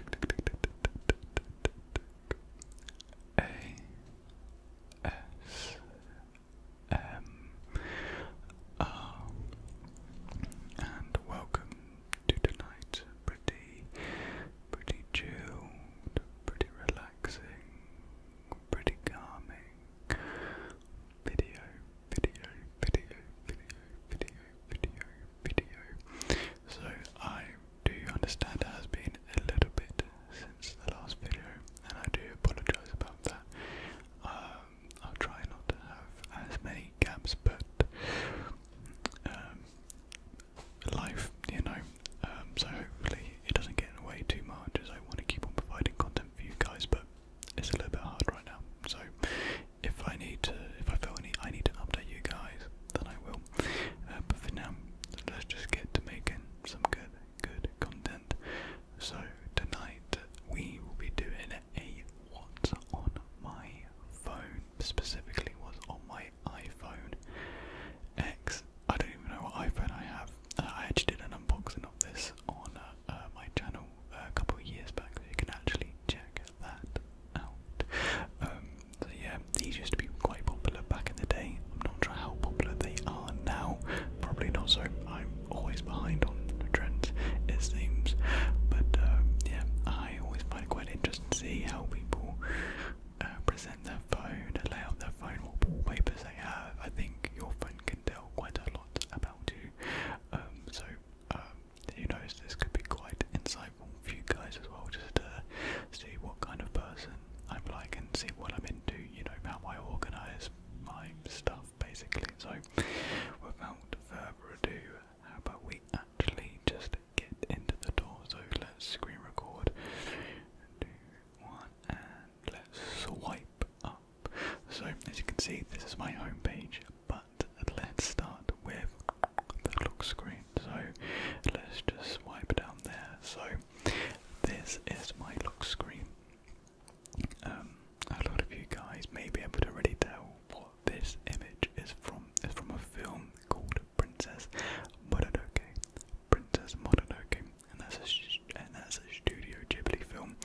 A S M R and welcome to tonight's pretty pretty chilled, pretty relaxing, pretty calming video, video, video, video, video, video, video. So I do understand it has been a little bit since the last video, and I do apologise about that. Um, I'll try not to have as many gaps, but um, life, you know. Um, so hopefully it doesn't get in the way too much, as I want to keep on providing content for you guys, but it's a little bit hard right now. So if I need to, if I feel any, I need to update you guys, then I will. Uh, but for now, let's just get to making some good, good content. So tonight we will be doing a what's on my phone, specifically what's on my iPhone X. I don't even know what iPhone I have. Uh, I actually did an unboxing of this on uh, my channel a couple of years back, so you can actually check that out. Um, so yeah, these used to be quite popular back in the day. I'm not sure how popular they are now. Probably not so. I'm always behind on the trends, it seems. But um, yeah, I always find it quite interesting to see how people uh, present their phone, lay out their phone, what wallpapers they have. I think your phone can tell quite a lot about you. Um, so um, who knows, this could be quite insightful for you guys as well, just to see what kind of person I'm like and see what I'm into, you know, how I organise my stuff basically. So, without further ado, how about we actually just get into the door? So, let's screen record. Do one and let's swipe up. So, as you can see, this is my homepage, but let's start with the lock screen. So let's just swipe down there. So this is my lock screen. Um, a lot of you guys may be able to already tell what this image is from. It's from a film called Princess Mononoke. Princess Mononoke, and that's a and that's a Studio Ghibli film.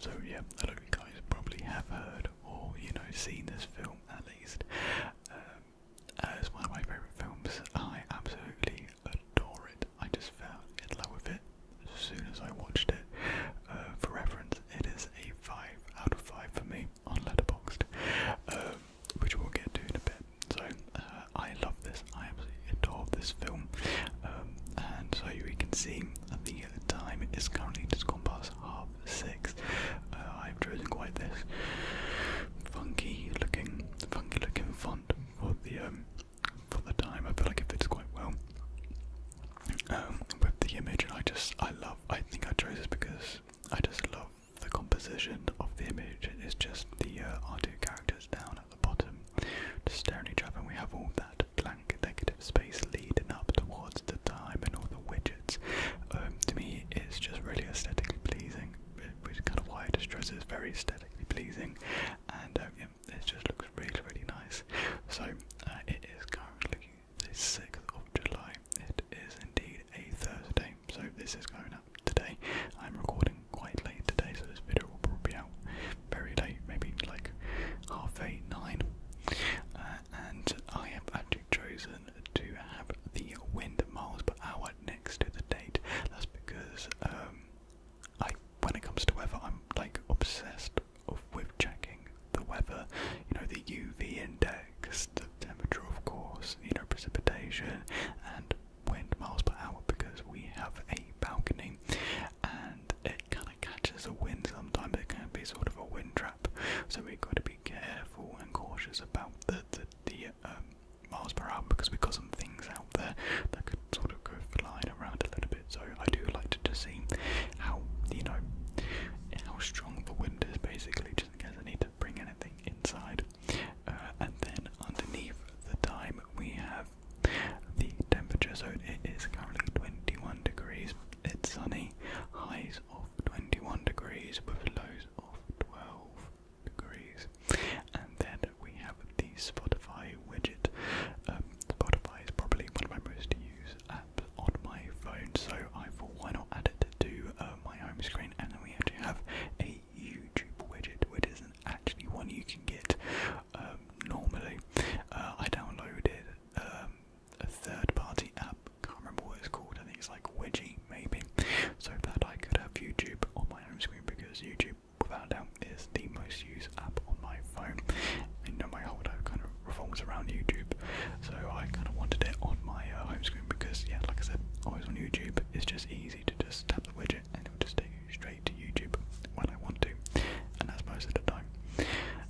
So yeah, a lot of you guys probably have heard or oh, you know seen this film at least as um, uh, one of my favourite films. I absolutely adore it. I just fell in love with it as soon as I watched it. Uh, for reference, it is a five out of five for me on Letterboxd, um, which we'll get to in a bit. So uh, I love this. I absolutely adore this film. Um, and so you can see the time is currently just gone past half six. Uh, I've chosen quite this funky looking, funky looking font for the um, for the time. I feel like it fits quite well um, with the image, and I just I love. I think I chose this because I just love the composition of the image. It's just the uh, two characters down at the bottom, staring at each other, we have all that blank negative space leading up towards the time and all the widgets um, to me it's just really aesthetically pleasing, which is kind of why I just stress it's very aesthetically pleasing, and um, it just looks really, really nice. So uh, it is currently the 6th of July, it is indeed a Thursday, so this is going up today. I'm recording quite late today, so this video will probably be out very late, maybe like half eight, nine. Uh, and I have actually chosen to have the wind miles per hour next to the date. That's because um, I, when it comes to weather, I'm like obsessed of, with checking the weather. You know, the UV index, the temperature, of course, you know, precipitation, and wind miles per hour because we have a balcony and it kind of catches the wind sometimes. It can be sort of a wind trap, so we've got to be careful careful and cautious about the the, the um, miles per hour because we've got some things out there that could sort of go flying around a little bit. So I do like to just see how you know how strong the wind is, basically, just in case I need to bring anything inside. Uh, and then underneath the time we have the temperature. So it is currently 21 degrees. It's sunny, high of 21 degrees with lows of 12 degrees. And then we have the Spotify widget. Um, Spotify is probably one of my most used apps on my phone, so I thought why not add it to uh, my home screen. And then we have a YouTube widget, which isn't actually one you can get um, normally. Uh, I downloaded um, a third-party app. Can't remember what it's called. I think it's like Wedgie, maybe. So that I could have YouTube on my home screen because YouTube, without doubt, is the most used app on my phone. And you know, my whole kind of revolves around YouTube. So I kind of wanted it on my uh, home screen because, yeah, like I said, always on YouTube. It's just easy to just tap the widget and it'll just take you straight to YouTube when I want to, and that's most of the time.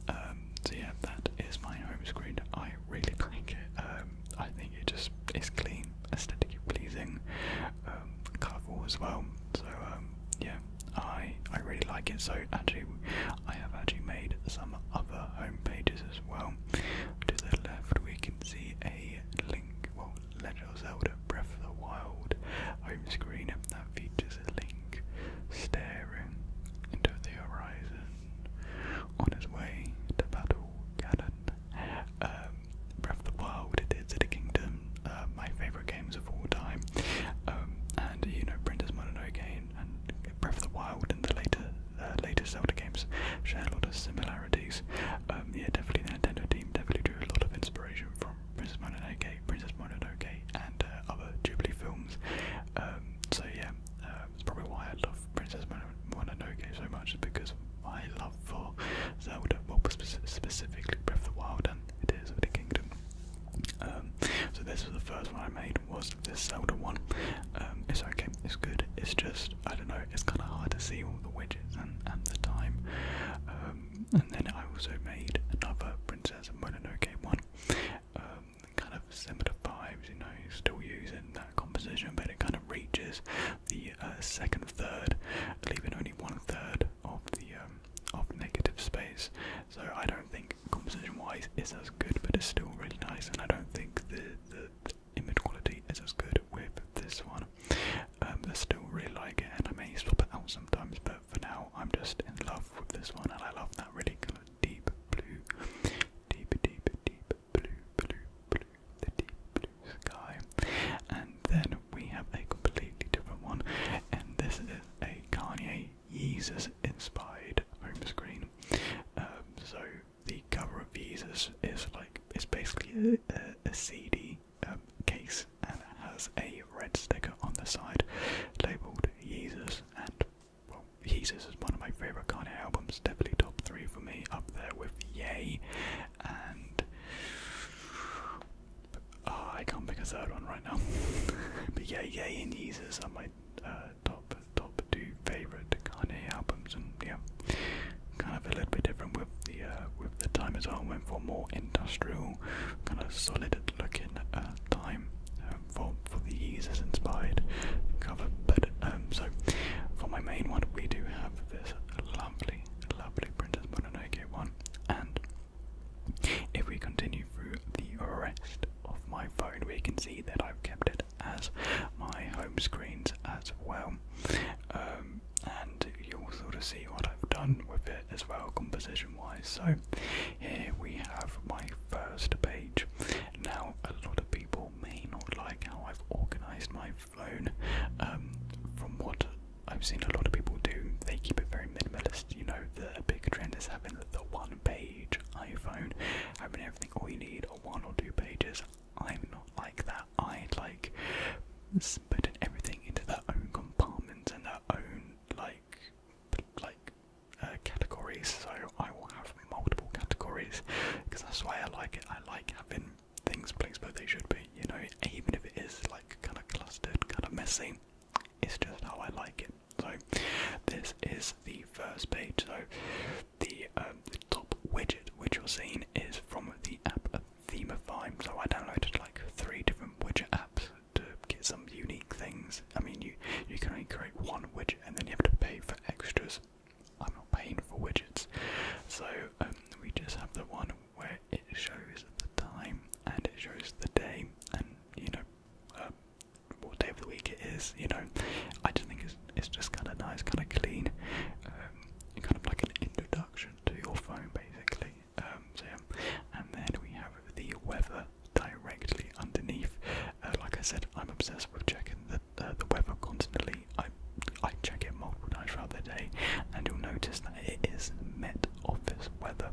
Um, so yeah, that is my home screen. I really like it. Um, I think it just is clean, aesthetically pleasing, um, colourful as well. So um, yeah, I I really like it. So actually, I have actually made some other home pages as well. To the left, we can see a link. Well, Legend of Zelda: Breath of the Wild home screen that features a link staring into the horizon on his way to battle Ganon. Um, Breath of the Wild, it is the Kingdom, uh, my favourite games of all time. Um, and you know, Princess Mononoke and Breath of the Wild and the later uh, later Zelda games share a lot of similarities. Um, yeah, definitely the Nintendo team definitely drew a lot of inspiration from Princess Mononoke, Princess Mononoke, and uh, other Jubilee films. so yeah, uh, um, it's probably why I love Princess Mononoke so much, is because I love for Zelda, well, specifically Breath of the Wild and it is of the Kingdom. Um, so this was the first one I made was this Zelda one. Um, it's okay, it's good. It's just I don't know. It's kind of hard to see all the widgets and, and the time. Um, and then I also made another Princess Mononoke one kind of similar vibes, you know, still using that composition, but it kind of reaches the uh, second third, leaving only one third of the um, of negative space. So I don't think composition-wise is as good, but it's still really nice, and I don't think the the, image quality is as good with this one. Um, I still really like it, and I may swap it out sometimes, but for now I'm just in love with this one, and I love that really kind deep blue, deep, deep, deep blue, blue, blue, the deep blue sky. And then we have a completely different one, and this is a Kanye Jesus inspired home screen. Um, so the cover of Jesus is like it's basically a, CD um, case and it has a red sticker on the side labeled Jesus and well, Jesus is one of my favourite Kanye albums, definitely top three for me, up there with Yay, and ah, I can't pick a third one right now. but yeah, Yay and Jesus are my uh, top top two favourite Kanye albums, and yeah, kind of a little bit different with the uh, with the time as well. Went for more industrial, kind of solid looking uh, time for for the users inspired cover. But um, so for my main one, we do have this lovely, lovely Princess Mononoke one, and if we continue through the rest of my phone, we can see that I've kept it as my home screens as well. Um, and you'll sort of see what I've done with it as well, composition wise. So, here we have my first page. Now, a lot of people may not like how I've organized my phone. Um, from what I've seen a lot of people do, they keep it very minimalist. You know, the big trend is having the one page iPhone, having everything we need are one or two pages. I'm not like that. I would like putting everything into their own compartments and their own like like uh, categories, so I will have multiple categories because that's why I like it. I like having things placed where they should be, you know, even if it is like kind of clustered, kind of messy. It's just how I like it. So this is the first page. So the, um, the top widget which you're seeing is from the app Themify. So I downloaded like three different widget apps to get some unique things. I mean, you you can only create one widget and then you have to pay for extras. I'm not paying for widgets. So um, we just have the one where it shows the time and it shows the day and you know uh, what day of the week it is. You know, I just think it's it's just kind of nice, kind of clean, um, kind of like an introduction to your phone basically. Um, yeah. and then we have the weather directly underneath. Uh, like I said, I'm obsessed with checking the uh, the, weather constantly. I I check it multiple times throughout the day, and you'll notice that it is Met Office weather.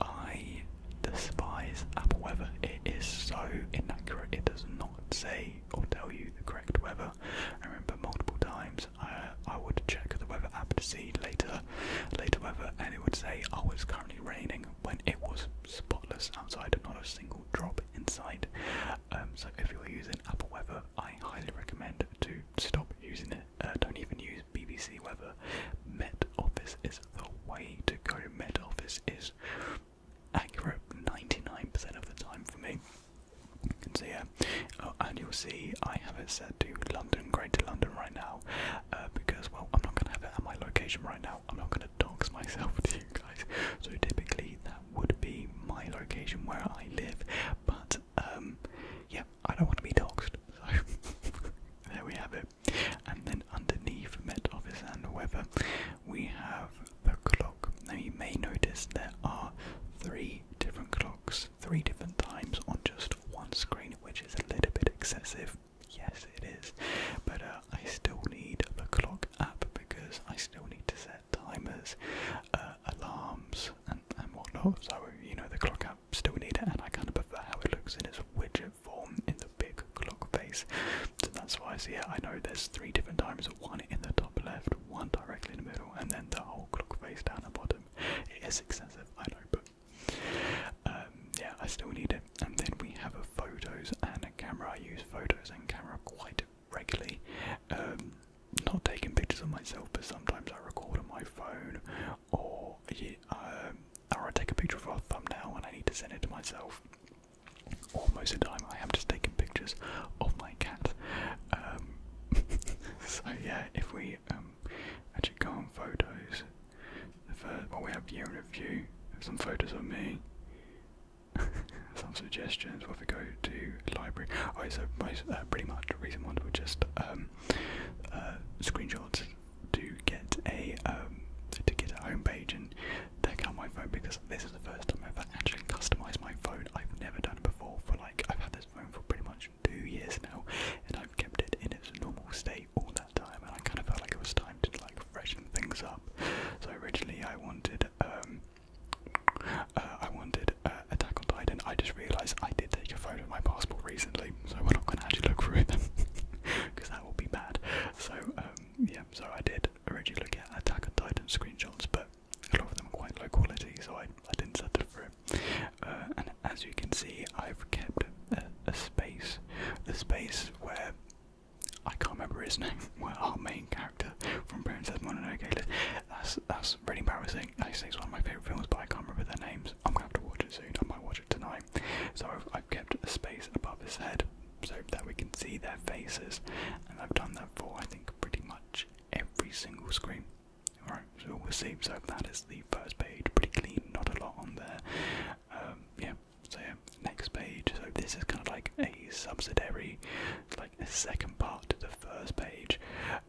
I despise Apple weather. It is so inaccurate. It does not say or tell you the correct weather. I remember multiple times uh, I would check the weather app to see later, later weather, and it would say, "Oh, it's currently raining," when it was spotless outside, and not a single drop inside. Um, so if you're using Apple Weather, I highly recommend to stop using it. Uh, don't even use BBC Weather. Met Office is the way to go. Met Office is accurate 99% of the time for me. And so yeah, oh, and you'll see I have it set to London, Greater London right now, uh, because well I'm not gonna have it at my location right now. I'm not gonna dox myself to you guys. So typically that would be my location where I live, but um, yeah, I don't want to be doxed. So there we have it. And then underneath Met Office and Weather, we have the clock. Now you may notice there are three different clocks, three different times on just one screen, which is a little bit excessive. Yes, it is, but uh, I still need the clock app because I still need to set timers, uh, alarms, and, and whatnot. So, you know, the clock app still need it, and I kind of prefer how it looks in its widget form in the big clock face. So that's why I see it. I know there's three different timers one in the top left, one directly in the middle, and then the whole clock face down the bottom. It is excessive, I know, but. Um, yeah, I still need it. And then we have a photos and a camera. I use photos and camera quite regularly. Um, not taking pictures of myself, but sometimes I record on my phone, or um, or I take a picture of a thumbnail and I need to send it to myself. Almost most the time, I am just taking pictures of my cat. Um, so yeah, if we um, actually go on photos, well, we have year in review. Some photos of me. some suggestions. What if we go to library? Oh, so most, uh, pretty much recent ones were just um, uh, screenshots to get a um, to get a home page and take out my phone because this is the first time I've ever actually customised my phone. I've never done it before. For like I've had this phone for pretty much two years now, and I've kept it in its normal state all that time, and I kind of felt like it was time like freshen things up. So originally I wanted um uh, I wanted uh, Attack on Titan. I just realised I did take a photo of my passport recently, so we're not going to actually look through it because that will be bad. So um, yeah, so I did originally look at Attack on Titan screenshots, but a lot of them are quite low quality, so I I didn't settle for it. Uh, and as you can see, I've kept a, space, a space where I can't remember his name. our main character from Princess Mononoke. That's that's really embarrassing. Actually, it's one of my favourite films, but I can't remember their names. I'm gonna have to watch it soon. I might watch it tonight. So I've, kept a space above his head so that we can see their faces, and I've done that for I think pretty much every single screen. Alright, so we'll see. So that is the first page, pretty clean, not a lot on there. Um, yeah, so yeah, next page. So this is kind of like a subsidiary, like a second part to the first page.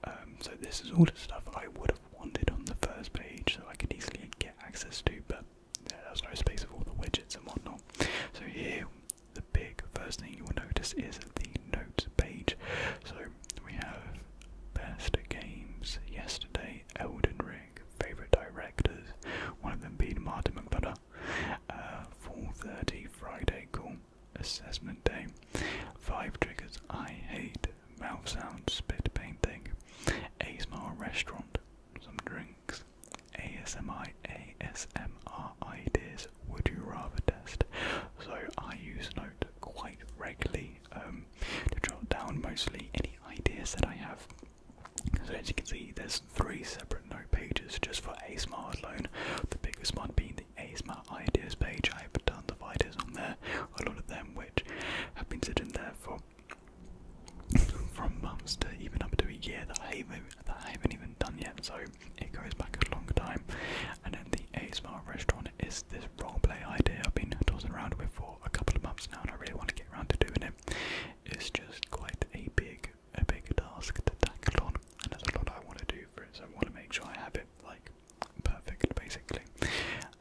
Um, so this is all the stuff I would have wanted on the first page, so I could easily get access to, but there was no space for all the widgets and whatnot. So here, the big first thing you will notice is the notes page. So we have best games yesterday, Elden Ring, favorite directors, one of them being Martin McFadden, 4.30 Friday call, assessment day. 5 triggers I hate, mouth sound, spit painting. ASMR restaurant, some drinks. ASMI, ASMR ideas, would you rather test? So I use Note quite regularly um, to jot down mostly any ideas that I have. So as you can see, there's three separate note pages just for ASMR alone. The biggest one being the ASMR ideas page. I have tons the videos on there, a lot of them which have been sitting there for from months to even up to a year that I haven't, that I haven't even done yet. So it goes back a longer time. And then the ASMR restaurant is this roleplay idea I've been tossing around with for a couple of months now, and I really want to get around to doing it. It's just quite a big a big task to tackle on, and there's a lot I want to do for it, so I want to make sure I have it like perfect basically.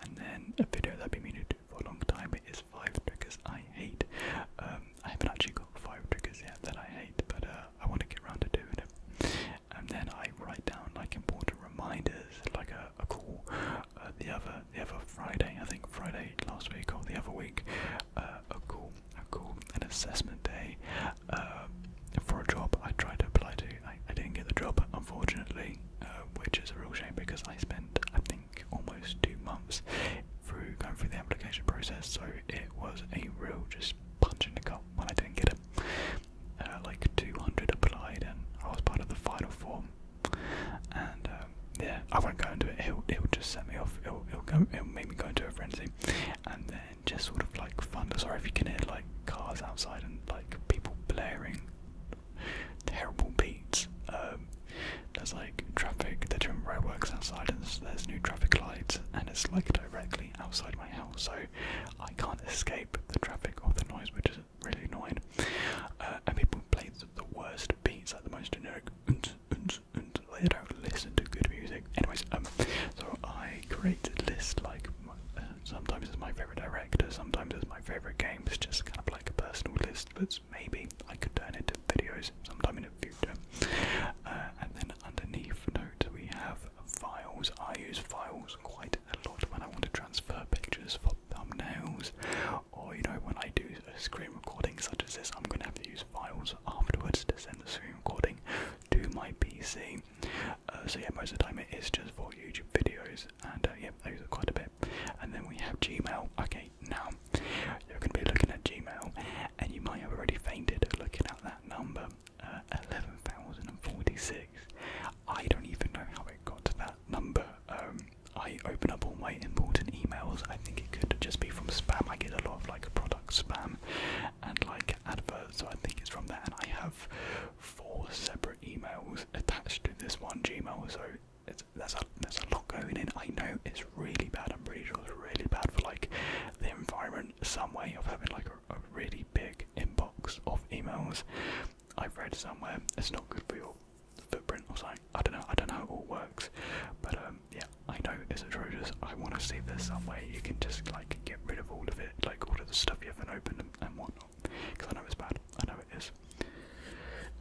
And then a video that I've been meaning to do for a long time is five triggers I hate. Um, I haven't actually got five triggers yet that I hate, but uh, I want to get around to doing it. And then I write down like important reminders, like a, a call uh, the other the other Friday, I think Friday last week or the other week, uh, a call cool, an assessment day uh, for a job I tried to apply to. I, didn't get the job, unfortunately, uh, which is a real shame because I spent, I think, almost two months through going through the application process, so it was a real just punch in the gut when I didn't get it. Uh, like 200 applied, and I was part of the final form. And um, yeah, I won't go into it. It'll, it'll just set me off. It'll, it'll, go, it'll make me go into a frenzy. And then just sort of like thunder. Sorry if you can hear like cars outside and like people blaring terrible beats. Um, there's like traffic, they're doing roadworks outside, and there's, no traffic lights, and it's like directly outside my house, so I can't escape the traffic or the noise, which is really annoying. Uh, and people play the, the worst beats, like the most generic books and they don't listen to good music. Anyways, um, so I created list like uh, sometimes it's my favorite director, sometimes it's my favorite games, just kind of like a personal list. But maybe I could turn into videos sometime in the future. Uh, and then underneath notes we have files. I use files quite a lot when I want to transfer pictures for thumbnails, or you know when I do screen recordings such as this, I'm gonna have to use files afterwards to send the screen recording to my PC. Uh, so yeah, most of the time it is just for YouTube videos, and uh, yeah, I use quite a bit. And then we have Gmail. Okay, now you're going to be looking at Gmail, and you might have already fainted looking at that number, uh, 11,046. I don't even know how it got to that number. Um, I open up all my important emails. I think it could just be from spam. I get a lot of like product spam and like adverts. So I think it's from there. And I have four separate emails attached to this one Gmail. So it's, there's a there's a lot going in. I know it's really bad. I'm pretty sure it's really bad for like the environment. Some way of having like a, really big inbox of emails. I've read somewhere it's not good for your footprint or something. I don't know. I don't know how it all works, but um, yeah, I know it's atrocious. I want to see this somewhere. You can just like get rid of all of it, like all of the stuff you haven't opened and, whatnot. Because I know it's bad. I know it is.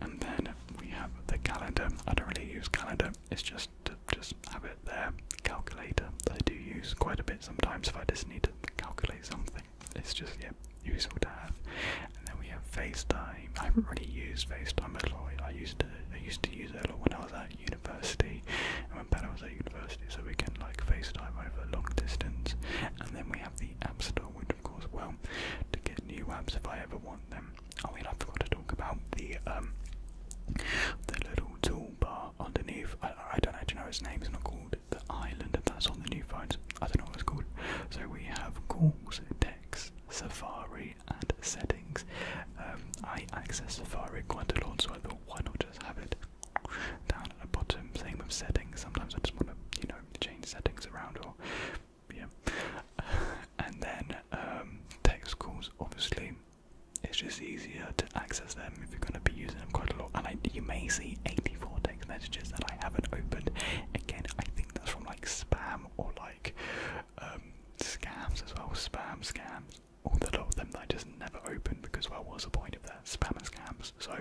And then we have the calendar. I don't really use calendar. It's just to just have it there. Calculator I do use quite a bit sometimes if I just need to calculate something. It's just yeah useful to have. And then we have FaceTime. I haven't really used FaceTime at all. I used to I used to use it a lot when I was at uni university, when Bella was at university, so we can like FaceTime over long distance. And then we have the App Store, which of course, well, to get new apps if I ever want them. Oh, and I forgot to talk about the um the little toolbar underneath. I, I don't actually know its name. It's not called the Island, and that's on the new phones. I don't know what it's called. So we have calls, text, Safari, and settings. Um, I access Safari quite a lot, so I thought, why not just have it down at the bottom? Same with settings. Sometimes I just want to, you know, change settings around or yeah. and then um, text calls, obviously. It's just easier to access them if you're going to be using them quite a lot. And I, you may see 84 text messages that I haven't opened. Again, I think that's from like spam or like um, scams as well. Spam, scams, all the lot of them that I just never opened because well, what's the point of that spam and scams? So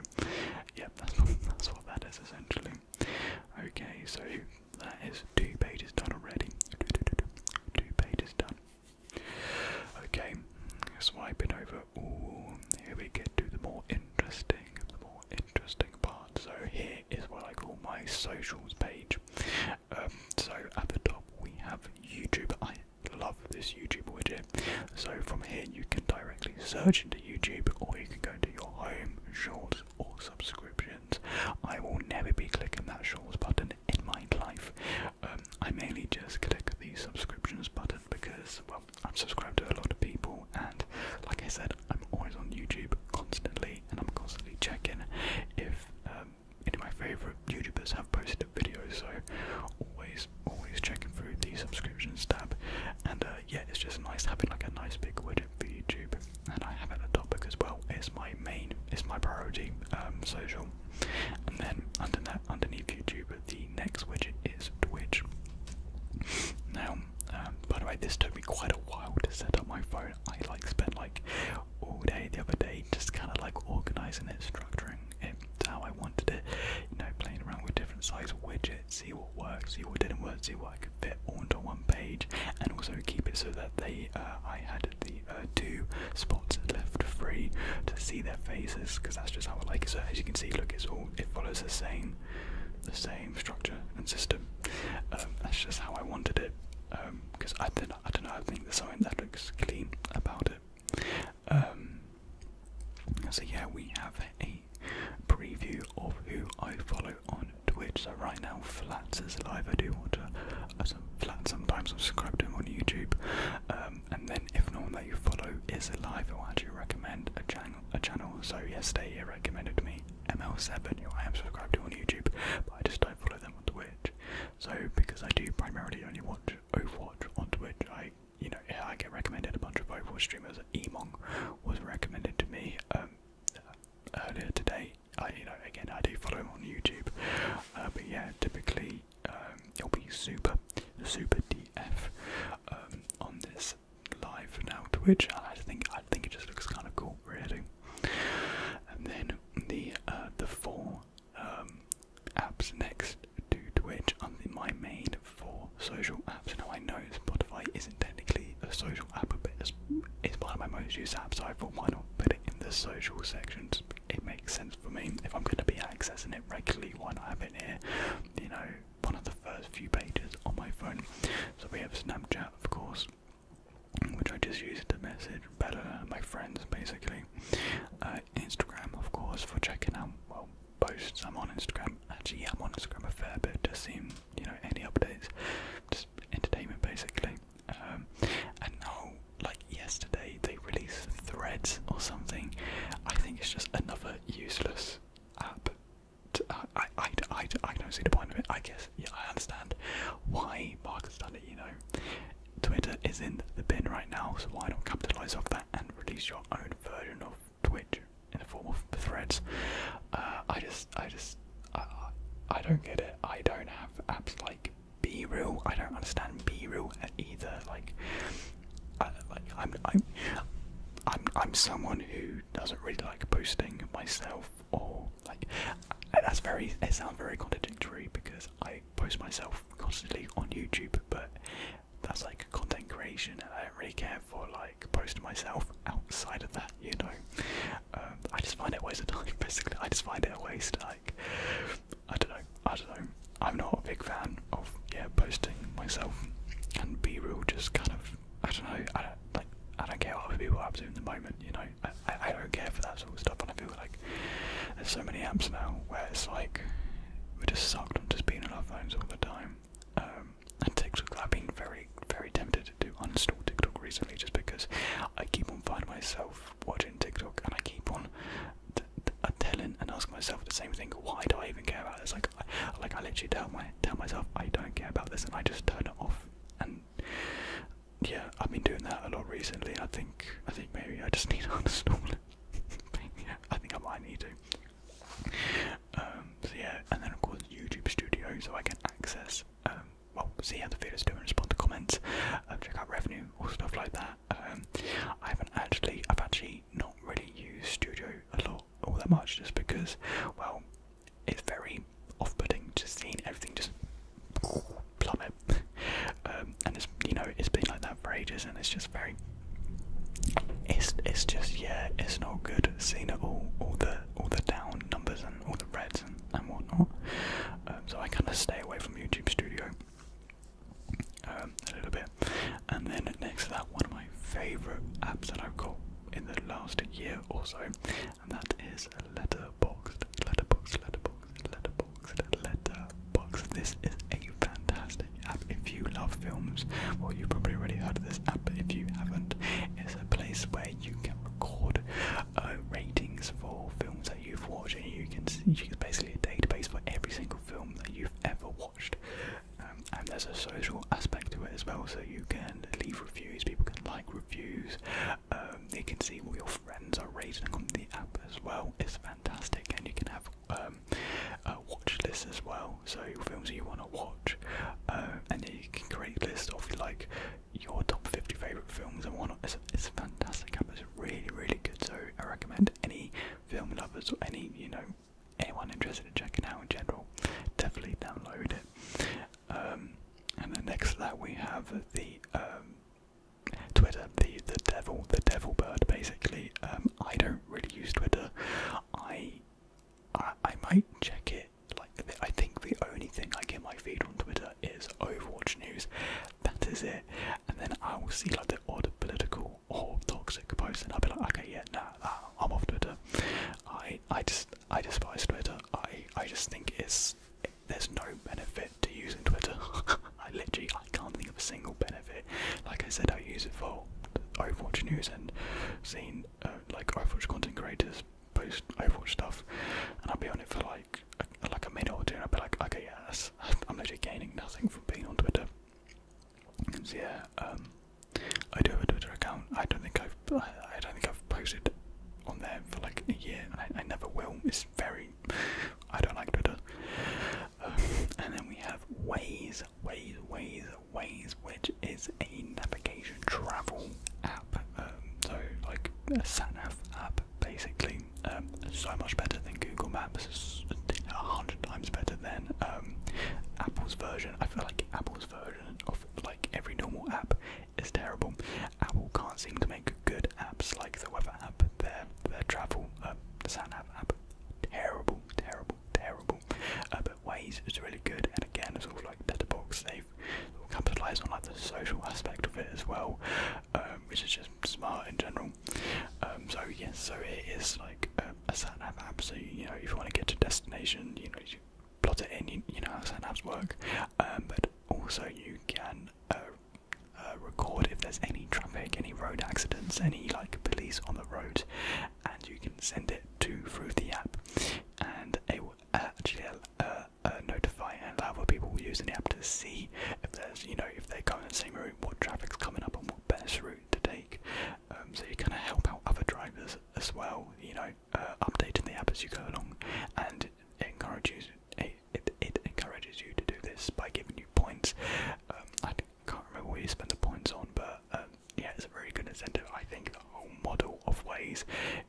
yeah, that's what, that's what that is essentially. Okay, so that is two pages done already. Two pages done. Okay, swiping over. Ooh, here we get to the more interesting, the more interesting part. So here is what I call my socials page. Um, so at the top we have YouTube. I love this YouTube widget. So from here you can directly search into YouTube, or you can go to your home, shorts, or subscriptions. I will never be clicking that shorts button in my life. Um, I mainly just click the subscriptions button because, well, I'm subscribed to a lot of people, and like I said, I'm always on YouTube constantly, and I'm constantly checking if um, any of my favorite YouTubers have posted a video, so always, always checking through the subscriptions tab. And uh, yeah, it's just nice having like a nice big widget for YouTube. And I have it at the top as well. It's my main, it's my priority um, social. And then under that, underneath YouTube, the next widget is Twitch. Now, um, by the way, this took me quite a while to set up my phone. I like spent like all day the other day, just kind of like organizing it, structuring it how I wanted it, you know, playing around with different size widgets, see what works, see what didn't work, see what I could fit onto one page, and also keep it so that they, uh, I had the uh, two spots left free to see their faces, because that's just how I like it. So as you can see, look, it's all it follows the same, the same structure and system. Um, that's just how I wanted it. because um, I did. I don't know. I think there's something that looks clean about it. Um, so yeah, we have a preview of who I follow on Twitch. So right now, Flats is live. I do want to. Uh, some Flats sometimes. I subscribe to him on YouTube. Um, and then if no one that you follow is alive, I'll actually recommend a channel. A channel. So yesterday, it recommended me ML7, who I am subscribed to on YouTube, but I just don't follow them on Twitch. So because I do primarily only watch Overwatch on Twitch, I you know I get recommended a bunch of Overwatch streamers. Emong was recommended to me um, earlier today. I you know again I do follow him on YouTube, uh, but yeah typically um, will be super super DF um, on this live now Twitch. And I think I think it just looks kind of cool really. And then the uh, the four um, apps next to which I'm my main for social apps. Now I know Spotify isn't technically a social app, but it's, it's one of my most used apps, so I thought why not put it in the social section? It makes sense for me if I'm going to be accessing it regularly. Why not have it here? You know, one of the first few pages on my phone. So we have Snapchat, of course which I just used to message better my friends basically. Uh, Instagram, of course, for checking out well posts. I'm on Instagram. Actually, I'm on Instagram a fair bit, just seeing you know any updates, just entertainment basically. Um, and now, like yesterday, they released Threads or something. I think it's just another useless app. Uh, I, I, I, I don't see the point of it. I guess yeah, I understand why Mark has done it. You know, Twitter is in the bin right now, so why not capitalize off that and release your own version of Twitch in the form of threads? Uh, I just, I just, I, I don't get it. I don't have apps like BeReal. I don't understand BeReal either. Like, I, like I'm, I'm, I'm, I'm someone who doesn't really like posting myself or like. That's very. It sounds very contradictory because I post myself constantly on YouTube, but that's like content creation, I don't really care for like posting myself outside of that, you know. Um, I just find it a waste of time. Basically, I just find it a waste. Like, I don't know. I don't know. I'm not a big fan of yeah posting myself and be real, Just kind of I don't know. I don't like. I don't care what other people i up to in the moment, you know. I, don't care for that sort of stuff, and I feel like there's so many apps now where it's like we're just sucked on just being on our phones all the time. Um, and TikTok, I've been very, very tempted to uninstall TikTok recently just because I keep on finding myself watching TikTok and I keep on uh, telling and asking myself the same thing. Why do I even care about this? Like, like I literally tell my tell myself I don't care about this, and I just turn it off. And yeah, I've been doing that a lot recently. I think I think maybe I just need to uninstall it. yeah, I think I might need to. Um, yeah, and then of course YouTube Studio, so I can access, um, well, see how the videos do and respond to comments, um, check out revenue or stuff like that. Um, I haven't actually, I've actually not really used Studio a lot, all that much, just because, well, it's very off-putting. Just seeing everything just plummet. Um, and it's you know it's been like that for ages, and it's just very. It's it's just yeah, it's not good seeing it all, all the all the down numbers and all the reds and whatnot. Um, so I kind of stay away from YouTube Studio um, a little bit. And then next to that, one of my favourite apps that I've got in the last year or so, and that is Letterboxd, Letterboxd, Letterboxd, Letterboxd letterboxd, This is a fantastic app. If you love films, well, you probably already heard of this app, if you haven't, it's a place where you can record uh, ratings for films that you've watched, and you can see it's basically a database for every single film that you've ever watched. Um, and there's a social aspect to it as well, so you can leave reviews, people can like reviews. Uh, um, you can see all your friends are rating on the app as well. It's fantastic, and you can have um, a watch list as well. So films you want to watch, uh, and then you can create a list of like your top 50 favorite films and whatnot. It's, it's a fantastic app. It's really, really good. So I recommend any film lovers or any you know anyone interested in checking out in general, definitely download it. Um, and the next slide we have the Twitter, the the devil, the devil bird, basically. Um, I don't really use Twitter. I, I might check it. Like I think the only thing I get my feed on Twitter is Overwatch news. That is it. And then I will see like the odd political or toxic post, and I'll be like, okay, yeah, nah, nah I'm off Twitter. I I just I despise Twitter. I I just think it's there's no benefit to using Twitter. I literally I can't think of a single benefit. Like I said, I use it for Overwatch news and seeing uh, like Overwatch content creators post Overwatch stuff, and I'll be on it for like a, like a minute or two, and I'll be like, okay, yes, I'm literally gaining nothing from being on Twitter. So yeah, um, I do have a Twitter account. I don't think I've I don't think I've posted on there for like a year, I, never will. It's very. I don't like Twitter. Um, and then we have Waze, Waze, Waze, Waze, which is a navigation travel app. Um, so, like a satnav app, basically. Um, so much better than Google Maps. A hundred times better than Apple's version. I feel like Apple's version of like every normal app is terrible. Apple can't seem to make good apps like the weather app, their their travel, uh, the app, terrible, terrible, terrible. Uh, but Waze is really good, and again, it's all like letterbox. They've capitalised on like the social aspect of it as well, um, which is just smart in general. Um, so yes, so it is like a, sat satnav app. So you know, if you want to get to destination, you know. You, Plot it in, you, you know how satnavs work, um, but also you can uh, uh, record if there's any traffic, any road accidents, any like police on the road, and you can send it to through the app, and it will actually uh, uh, notify and allow the people using the app to see if there's you know if they're going the same route, what traffic's coming up, and what best route to take. Um, so you kind of help out other drivers as well, you know, updating the app as you go along, and encourages it, it, encourages you to do this by giving you points. Um, I can't remember what you spend the points on, but um, yeah, it's a very good incentive. I think the whole model of ways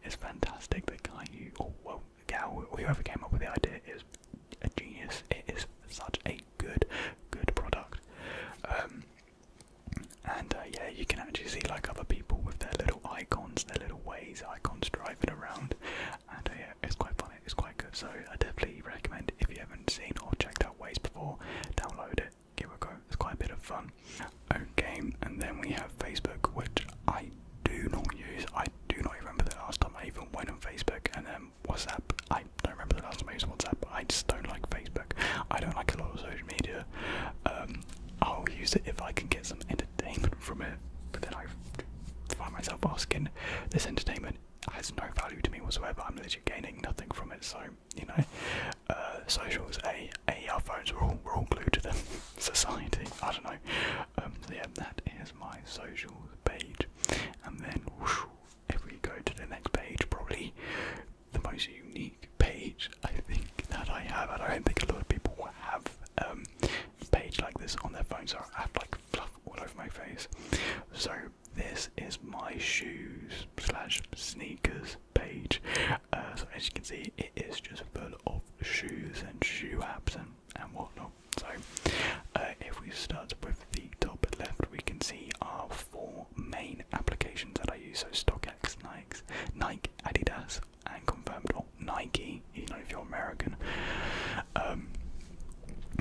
is fantastic. The guy who, or well, gal, whoever came up with the idea is a genius. It is such a good, good product. Um, and uh, yeah, you can actually see like other people with their little icons, their little ways icons driving around, and uh, it's quite funny, it's quite good. So I definitely recommend if you haven't seen or checked out Waste before, download it, give it a go. It's quite a bit of fun. game. and then we have Facebook, which I do not use. I do not remember the last time I even went on Facebook, and then WhatsApp. I don't remember the last time I used WhatsApp. I just don't like Facebook. I don't like a lot of social media. Um, I'll use it if I can get some entertainment from it, but then I find myself asking, this entertainment has no value to me whatsoever. I'm literally gaining nothing from it. So you know, uh, socials, a, a, phones, we're all, we're all glued to them. Society, I don't know. Um, yeah, that is my social page, and then whoosh, if we go to the next page, probably the most unique page I think that I have. I don't think a lot of people have um, a page like this on their phones. So I have like fluff all over my face. So this is my shoes slash sneakers page. Uh, so as you can see, it is just full of shoes and shoe apps and and whatnot. So uh, if we start with the top left, we can see our four main applications that I use. So StockX, Nike, Nike, Adidas, and confirmed or Nike you know if you're American. Um,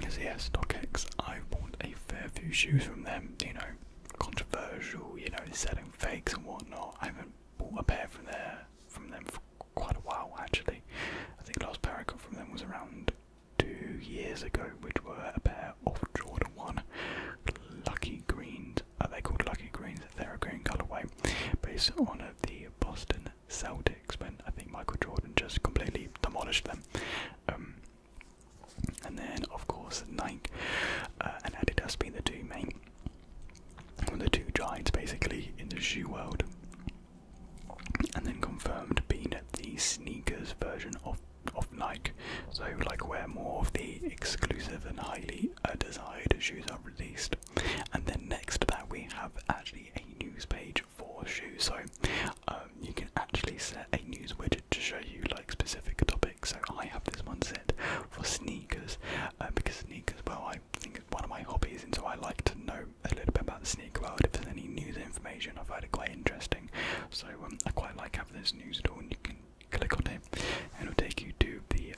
so yeah, StockX, I bought a fair few shoes from them. You know, controversial. You know, selling fakes and whatnot. I haven't bought a pair from there from them for quite a while actually. I think the last pair I got from them was around two years ago, which were a pair of Jordan One Lucky Greens. Are they called Lucky Greens? They're a green colorway, based on the Boston Celtics when I think Michael Jordan just completely demolished them. Um, and then, of course, Nike uh, and Adidas being the two main, the two giants basically in the shoe world. And then confirmed being the sneakers version of of Nike, so like wear more of the exclusive and highly uh, desired shoes are released. And then next to that, we have actually a news page for shoes. So um, you can actually set a news widget to show you like specific topics. So I have this one set for sneakers uh, because sneakers, well, I think it's one of my hobbies, and so I like to know a little bit about the sneaker world. If there's any news information, I find it quite interesting. So um, I quite like having this news at all, and you can click on it, and it'll take you to the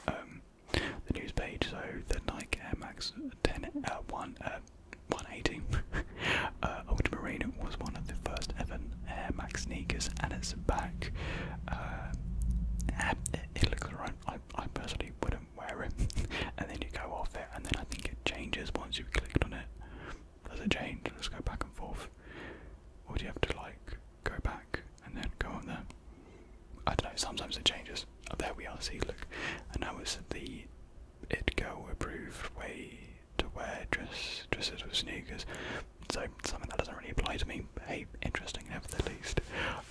the news page. So the Nike Air Max 10 uh, 1. Uh, 180. uh, Ultramarine was one of the first ever Air Max sneakers, and it's back. Uh, it looks alright. I, I personally wouldn't wear it, and then you go off it, and then I think it changes once you've clicked on it. Does it change? Let's go back and forth. Or do you have to like go back and then go on there? I don't know. Sometimes it changes. Oh, there we are. See, look, and now it's the it-go approved way to wear dress, dresses with sneakers. So something that doesn't really apply to me, but hey, interesting nevertheless. least.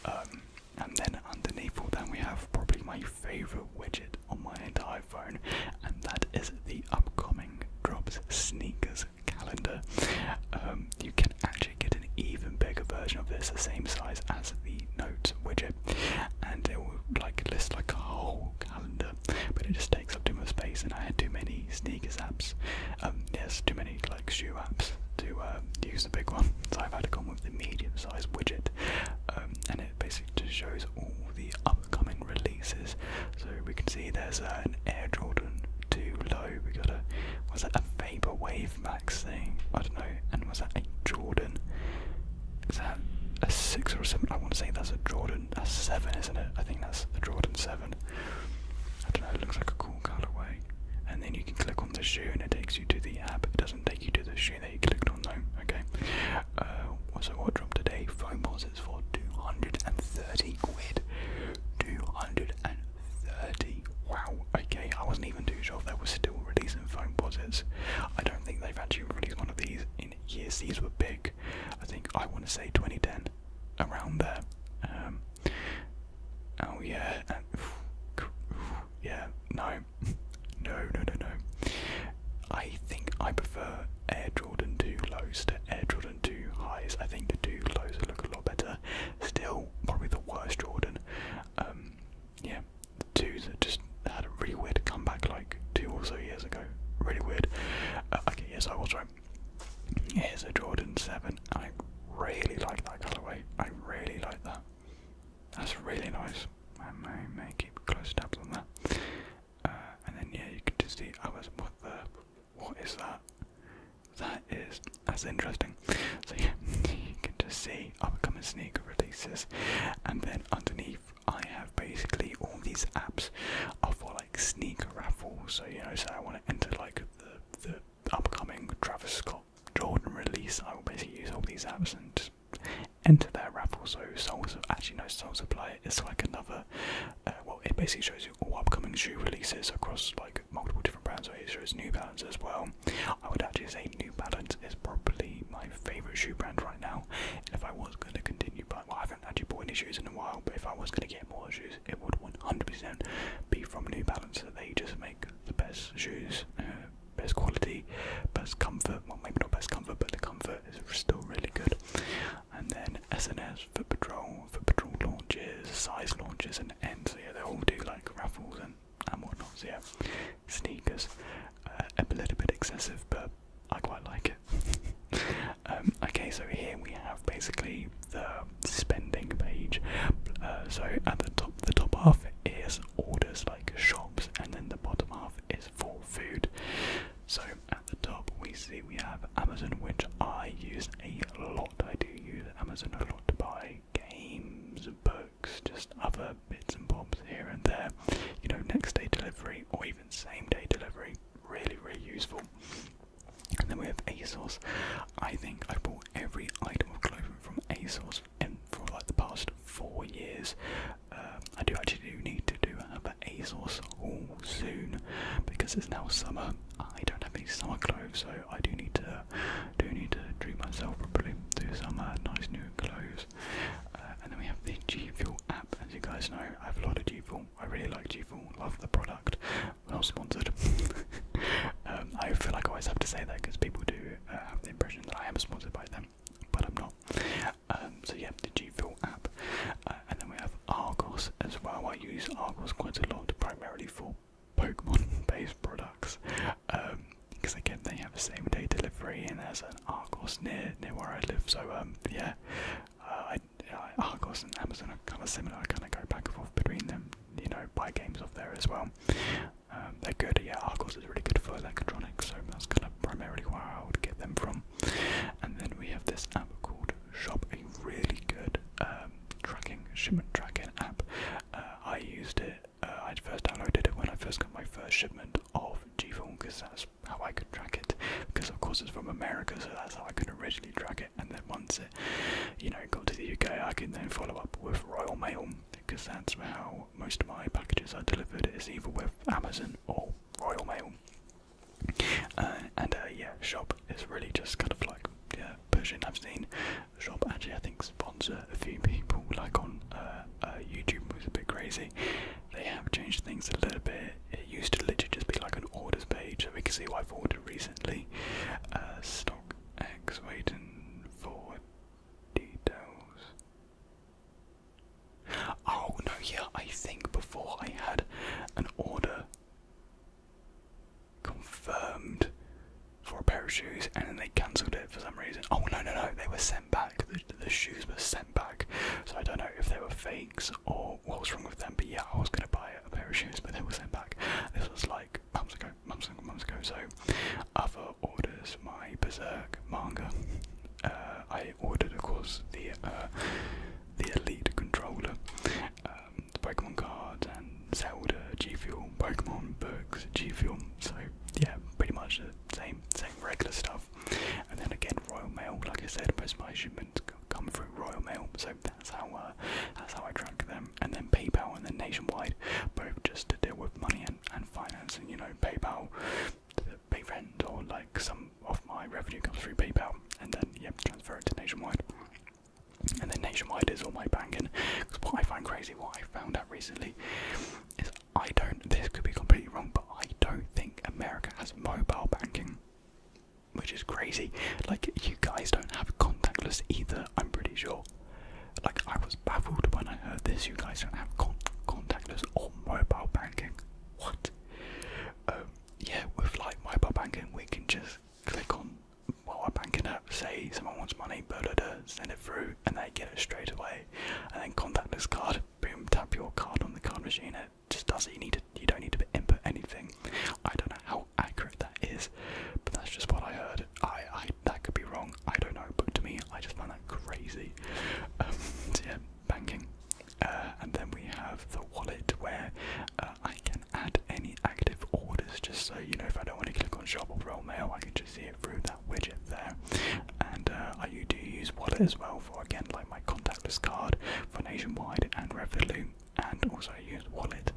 Um, and then underneath all that we have probably my favourite widget on my entire phone, and that is the upcoming Drops Sneakers calendar. Um, you can actually get an even bigger version of this, the same size as the note widget and it would like list like a whole calendar, but it just takes up too much space, and I had too many sneakers apps. Um, there's too many like shoe apps to um, use the big one, so I've had to come with the medium size widget, um, and it basically just shows all the upcoming releases. So we can see there's an Air Jordan 2 Low. We got a was that a Vapor Wave Max thing? I don't know. And was that a Jordan? Is that a six or a seven? I want to say that's a Jordan. a seven, isn't it? I think that's the Jordan seven. I don't know. It looks like a cool colourway. And then you can click on the shoe, and it takes you to the app. It doesn't take you to the shoe that you clicked on, though. Okay. What's uh, so what dropped today? Foam posits for two hundred and thirty quid. Two hundred and thirty. Wow. Okay. I wasn't even too sure if that was still released these I don't think they've actually released one of these in years. These were big. I think I want to say 2010, around there. Um, oh yeah, yeah. No, no, no, no, no. I think I prefer Air Jordan 2 lows to Air Jordan 2 highs. I think the 2 lows look a lot better. Still, probably the worst Jordan. Um, yeah, the two that just had a really weird comeback like two or so years ago. Really weird. Uh, okay, yes, I was right. Here's a Jordan 7. I really like that colorway. I really like that. That's really nice. I may, may keep close tabs on that. Uh, and then, yeah, you can just see. I was, what the? What is that? That is. That's interesting. So, yeah, you can just see upcoming sneaker releases. And then underneath, I have basically all these apps are for like sneaker raffles. So you know, so I want to enter like the the upcoming Travis Scott Jordan release. I will basically use all these apps and enter that raffle. So Soul actually no Soul Supply It's like another. Uh, well, it basically shows you all upcoming shoe releases across like multiple different brands. So it shows New Balance as well. I would actually say New Balance is probably my favorite shoe brand right now. And if I was going to continue buying, well, I haven't actually bought any shoes in a while, but if I was going to get more shoes, it would 100% be from New Balance. They just make the best shoes, uh, best quality, best comfort. Well, maybe not best comfort, but the comfort is still really good. And then SNS, for Patrol, Foot Patrol launches, size launches, and ends. So yeah, they all do like raffles and and whatnot. So yeah, sneakers a little bit excessive, but I quite like it. Um, okay, so here we have basically the spending page. Uh, so at the top, the top half is orders like shops, and then the bottom half is for food. So at the top, we see we have Amazon, which I use a lot. I do use Amazon a lot to buy games, books just other bits and bobs here and there. You know, next day delivery or even same day delivery, really, really useful. And then we have ASOS. I think I bought every item of clothing from ASOS and for like the past four years. Um, I do actually do need to do another ASOS haul soon because it's now summer. I don't have any summer clothes, so I do need to do need to treat myself properly. Do some uh, nice new clothes uh, and then we have the G Fuel app. As you guys know, I have a lot of G Fuel. I really like G Fuel. Love the product. We're not sponsored. Um, I feel like I always have to say that because people do uh, have the impression that I am sponsored by them, but I'm not. Um, so yeah, the G Fuel app. Uh, and then we have Argos as well. I use Argos quite a lot, primarily for Pokemon-based products. Um, because again they have the same day delivery and there's an Argos near near where I live. So um, yeah, uh, uh, Argos and Amazon are kind of similar. I kind of go back and forth between them. You know, buy games off there as well. Um, they're good. Yeah, Argos is really good for electronics. So that's kind of primarily where I would get them from. And then we have this app called Shop, a really good um, tracking shipment tracking app. Uh, I used it uh, I first downloaded it when I first got my first shipment of G-Film because that's how I could track it. Because of course it's from America, so that's how I could originally track it. And then once it, you know, got to the UK, I can then follow up with Royal Mail because that's how most of my packages are delivered is either with Amazon or Royal Mail. Uh, and uh, yeah, Shop is really just kind of like yeah, pushing. I've seen Shop actually, I think, sponsor a few people like on YouTube was a bit crazy, they have changed things a little bit. It used to literally just be like an orders page, so we can see what I've ordered recently. Uh, stock X waiting for details. Oh no, yeah, I think before I had an order confirmed for a pair of shoes and then they cancelled it for some reason. Oh no, no, no, they were sent back back. The, shoes were sent back, so I don't know if they were fakes or what was wrong with them. But yeah, I was gonna buy a pair of shoes, but they were sent back. This was like months ago, months ago, months ago. So other orders, my Berserk manga. Uh, I ordered, of course, the uh, the Elite controller, um, the Pokemon cards, and Zelda G Fuel Pokemon books G Fuel. So yeah, pretty much same, same regular stuff. And then again, Royal Mail. Like I said, most of my shipments come through Royal Mail, so that's how uh, that's how I track them. And then PayPal and then Nationwide, both just to deal with money and and financing. You know, PayPal pay rent or like some of my revenue comes through PayPal, and then yeah, transfer it to Nationwide. And then Nationwide is all my banking. Because what I find crazy, what I found out recently, is I don't, this could be completely wrong, but I don't think America has mobile banking, which is crazy. Like, you guys don't have contactless either, I'm pretty sure. Like, I was baffled when I heard this. You guys don't have con contactless or mobile banking. What? Um, yeah, with like mobile banking, we can just click on well, our banking app, say someone wants money, blah, blah, send it through, and they get it straight away. And then contactless card, boom, tap your card on the card machine. It just does it. You need to, you don't need to input anything. I don't know how accurate that is, but that's just what I heard. I, I that could be wrong. I don't know, but to me, I just find that crazy. Um, yeah, banking, uh, and then we have the wallet where uh, I can add any active orders. Just so you know, if I don't want to click on shop or roll mail, I can just see it through that widget there. And uh, I do use Wallet as well for again like my contactless card for Nationwide and Revolut, and also I use Wallet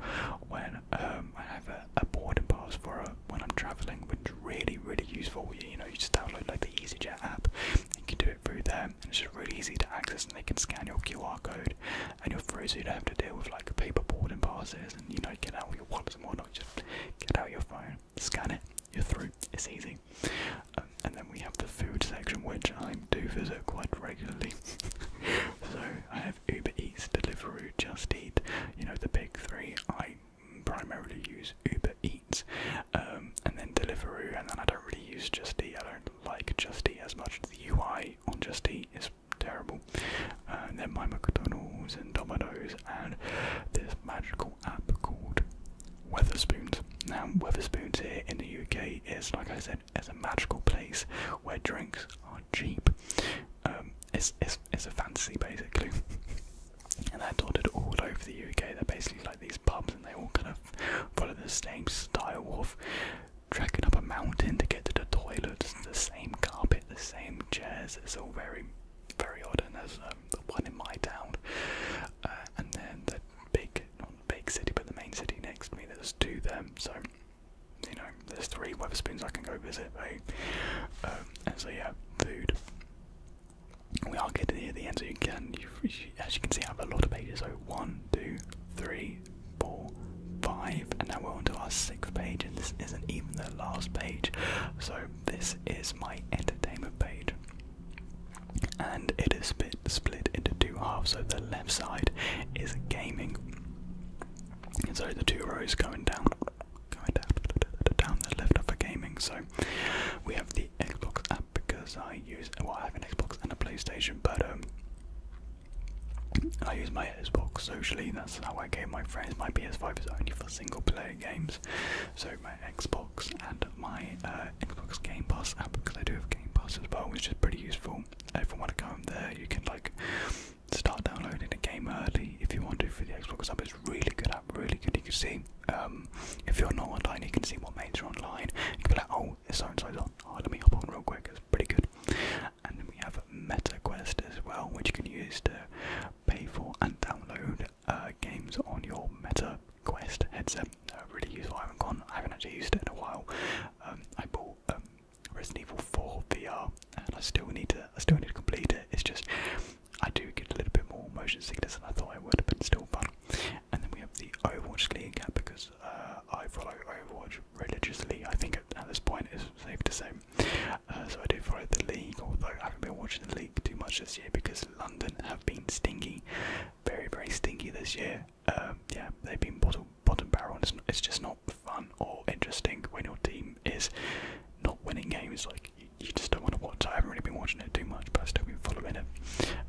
when um, I have a, boarding pass for when I'm traveling, which is really really useful. You, know, you just download like the EasyJet app, you can do it through there, and it's just really easy to access, and they can scan your QR code, and you're free, so you don't have to deal with like paper boarding passes, and you know, get out with your wallet and whatnot. Just get out your phone scan it, you're through. It's easy. Um, and then we have the food section, which I do visit quite regularly. so I have Uber Eats, Deliveroo, Just Eat, you know, the big three. I primarily use Uber Eats um, and then Deliveroo, and then I don't really use Just Eat. I don't like Just Eat as much. The UI on Just Eat is terrible. Uh, and then my McDonald's and Domino's and this magical app called Weatherspoons. Now, Weatherspoons here in the UK is, like I said, it's a magical place where drinks are cheap. Um, it's, it's, it's a fantasy basically, and they're dotted all over the UK. They're basically like these pubs, and they all kind of follow the same style of trekking up a mountain to get to the toilets. The same carpet, the same chairs. It's all very very odd, and there's um, the one in my town, uh, and then the big, not big city, but the main city next to me. There's two them, so you know, there's three Weatherspoons I can go visit. Eh? Um, and so yeah, food. We are getting near the end, so as you can see, I have a lot of pages. So one, two, three, four, five, and now we're on to our sixth page, and this isn't even the last page. So this is my entertainment page and it is split, into two halves. So the left side is gaming, so the two rows going down, going down, down the left of for gaming. So we have the Xbox app because I use well, I have an Xbox and a PlayStation, but um, I use my Xbox socially. That's how I game my friends. My PS5 is only for single player games, so Xbox and my uh, Xbox Game Pass app because I do have Game Pass as well, which is pretty useful. Uh, if you want to go in there, you can like start downloading a game early if you want to for the Xbox app. It's really good app, really good. You can see um, if you're not online, you can see what mates are online. You can be like, oh, so and on. Oh, let me hop on real quick. It's pretty good. And then we have MetaQuest as well, which you can use to pay for and download uh, games on your Meta Quest headset. Uh, really useful. I haven't gone. I haven't actually used it in a while. Um, I bought um, Resident Evil 4 VR, and I still need to. I still need to complete it. It's just I do get a little bit more motion sickness than I thought I would, but it's still fun. And then we have the Overwatch League cap because uh, I follow Overwatch religiously. I think at, this point it's safe to say. so I do follow the league, although I haven't been watching the league too much this year because London have been stingy, very very stingy this year. Um, yeah, they've been bottom bottom barrel, and it's, just not fun or interesting when your team is not winning games. Like you, just don't want to watch. I haven't really been watching it too much, but I've still been following it.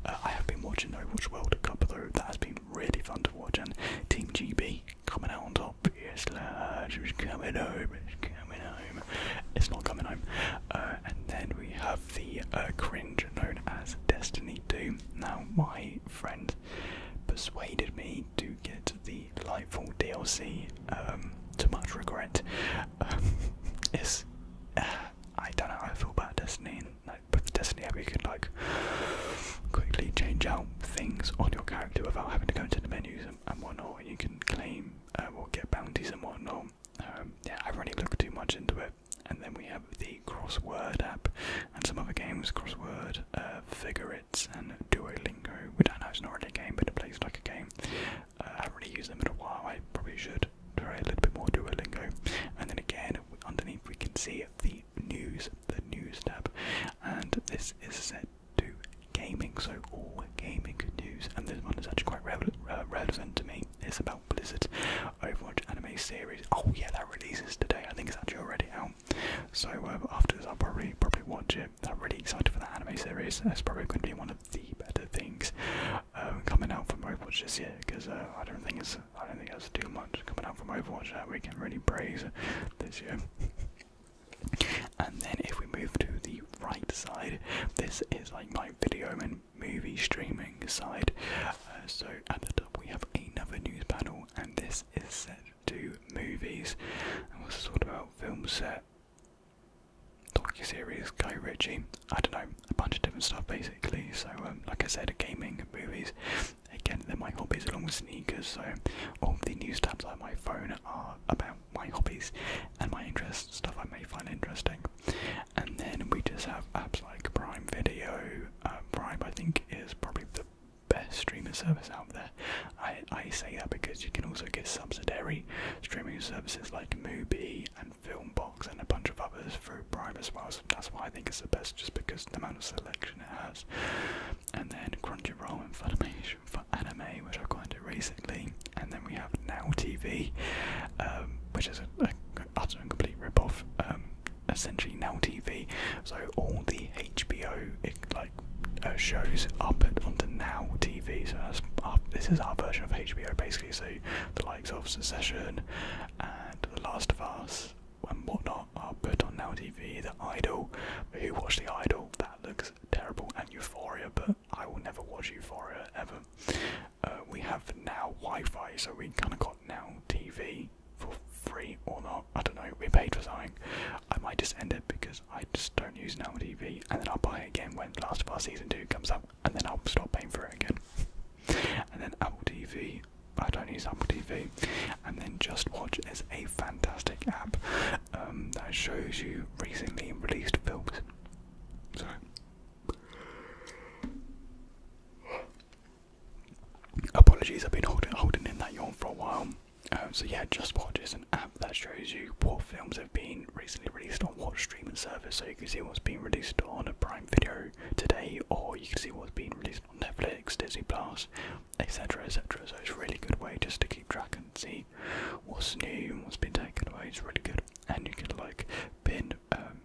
Uh, I have been watching the Overwatch World Cup though. That has been really fun to watch, and Team GB coming out on top. Yes, lads, coming home? coming home. It's not coming home. Uh, and then we have the uh, cringe known as Destiny Doom. Now, my friend persuaded me to get the Lightfall DLC. Um, Too much regret, um, uh, I don't know how I feel about Destiny. Like, with Destiny, you can like quickly change out things on your character without having to go into the menus and, and whatnot. You can claim or get bounties and whatnot. Um, yeah, I haven't really looked too much into it. And then we have the crossword app and some other games, crossword, uh, figure it, and Duolingo, We don't know it's not really a game, but it plays like a game. Uh, I haven't really used them in a while. I probably should try a little bit more Duolingo. And then again, underneath we can see the news, the news tab, and this is set to gaming, so all gaming news. And this one is actually quite re uh, relevant to me it's about Blizzard Overwatch anime series. Oh yeah, that releases today. I think it's actually already out. So um, after this, I'll probably probably watch it. I'm really excited for that anime series. That's probably going to be one of the better things um, coming out from Overwatch this year because uh, I don't think it's I don't think it's too much coming out from Overwatch that we can really praise this year. and then if we move to the right side, this is like my video and movie streaming side. Uh, so at the top we have another news panel, and this is set to movies. And what's sort of about film set, docu series, Guy Ritchie. I don't know, a bunch of different stuff basically. So um, like I said, gaming, movies. Again, they're my hobbies along with sneakers. So all the news tabs on my phone are about my hobbies and my interests, stuff I may find interesting and then we just have apps like Prime Video. Um, Prime, I think, is probably the best streaming service out there. I, I say that because you can also get subsidiary streaming services like Mubi and Filmbox and a bunch of others through Prime as well. So that's why I think it's the best, just because the amount of selection it has. And then Crunchyroll and Funimation for anime, which I quite into recently. And then we have Now TV, um, which is a, utter and complete rip-off. Um, essentially, Now TV. So all the HBO like uh, shows are put onto Now TV. So this is our version of HBO, basically. So the likes of Succession and The Last of Us and whatnot are put on Now TV. The Idol, who watched The Idol? That looks terrible. And Euphoria, but I will never watch you for her ever. Uh, we have now Wi-Fi, so we kind of got now TV for free or not. I don't know. We paid for something. I might just end it because I just don't use now TV, and then I'll buy it again when Last of Us season two comes out, and then I'll stop paying for it again. And then Apple TV. I don't use Apple TV. And then Just Watch is a fantastic app um, that shows you recently released films. So Apologies, I've been holding, holding in that yawn for a while. Um, so yeah, Just Watch is an app that shows you what films have been recently released on what streaming service. So you can see what's been released on a Prime Video today, or you can see what's been released on Netflix, Disney Plus, etc., etc. So it's a really good way just to keep track and see what's new and what's been taken away. It's really good, and you can like pin. Um,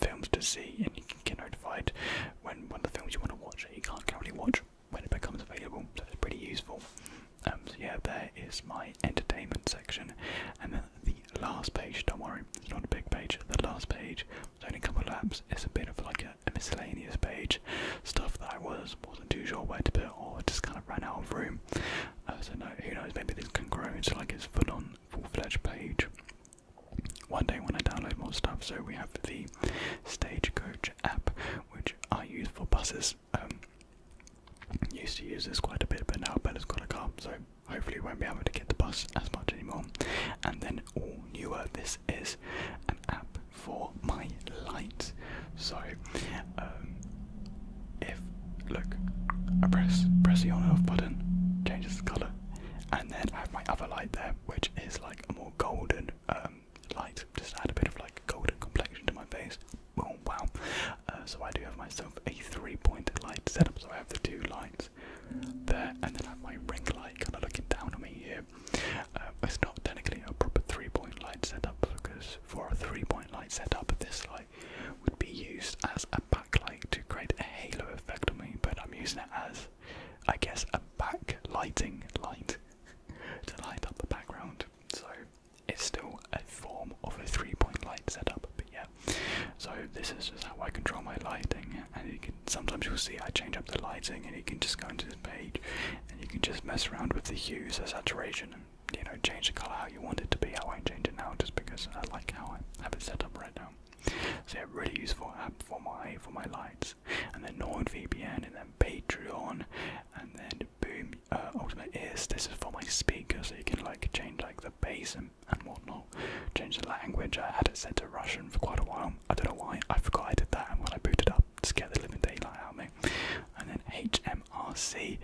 films to see, and you can get notified when one of the films you want to watch you can't currently watch when it becomes available. So it's pretty useful. Um, so yeah, there is my entertainment section, and then the last page. Don't worry, it's not a big page. The last page, it's only a couple of apps. It's a bit of like a, miscellaneous page, stuff that I was wasn't too sure where to put, or just kind of ran out of room. Uh, so no, who knows? Maybe this can grow into like its full-on full-fledged page one day when I download more stuff. So we have the Stagecoach app, which I use for buses. Um, used to use this quite a bit, but now Bella's got a car, so hopefully won't be able to get the bus as much anymore. And then all newer, this is an app for my lights. So um, if look, I press press the on and off button, changes the colour, and then I have my other light there, which is like a more golden um, light, just add a bit of like golden complexion to my face. Oh wow! Uh, so I do have myself a three-point light setup. So I have the two lights there, and then I have my ring light kind of looking down on me here. Uh, it's not technically a proper three-point light setup because for a three-point light setup, this light would be used as a backlight to create a halo effect on me, but I'm using it as, I guess, a backlighting light to light up the background. So it's still a form of a three-point light setup, but yeah. So this is just how I control my lighting, and sometimes you'll see I change up the lighting, and you can just go into this page, and you can just mess around with the hues, the saturation, you know, change the color how you want it to be. I won't change it now just because I like how I have it set up right now. So it's really useful app for my for my lights. And then VPN and then Patreon and then boom uh, Ultimate Ears. this is for my speakers, so you can like change like the bass and, and whatnot. Change the language. I had it set to Russian for quite a while. I don't know why. I forgot I did that and when I booted up scared the living daylight out of me. And then HMRC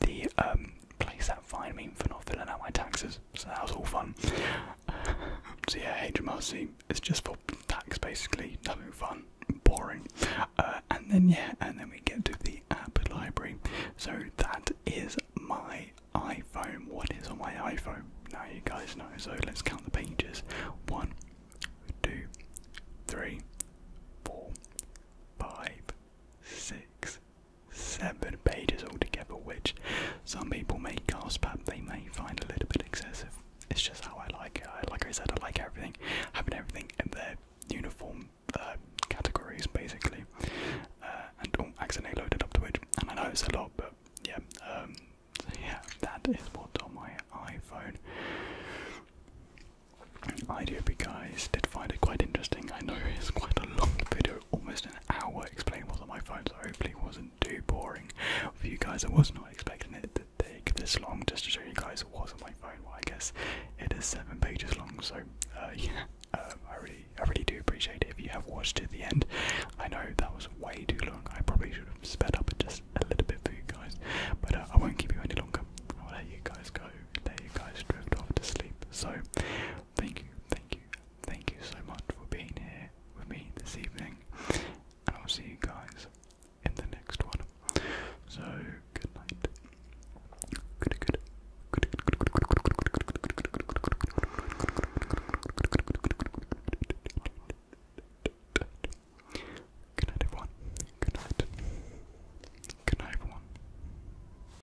the um place that fine me for not filling out my taxes. So that was all fun. so yeah, HMRC it's just for tax basically, nothing fun, boring. Uh, and then yeah, and then we get to the app library. So that is my iPhone. What is on my iPhone? Now you guys know. So let's count the pages. One, two, three, four, five, six, seven pages altogether, which some people may gasp at, they may find a little bit excessive. It's just how I like it. like I said, I like everything, having everything in their uniform uh, categories basically, uh, and all accidentally loaded up to it. And I know it's a lot, but yeah, um, so yeah, that is what's on my iPhone. I do hope you guys did find it quite interesting. I know it's quite a long video almost an hour explaining what's on my phone, so hopefully wasn't too boring for you guys. I was not expecting it to take this long just to show you guys what's on my phone. Well, I guess it is seven pages long, so uh, yeah. Um, I really, I really do appreciate it if you have watched to the end. I know that was way too long. I probably should have sped up just a little bit for you guys, but uh, I won't keep you any longer. I'll let you guys go, let you guys drift off to sleep. So, Thank you, thank you, thank you so much for being here with me this evening, and I'll see you guys in the next one. So, good night. good night, everyone. Good night. Good night, everyone.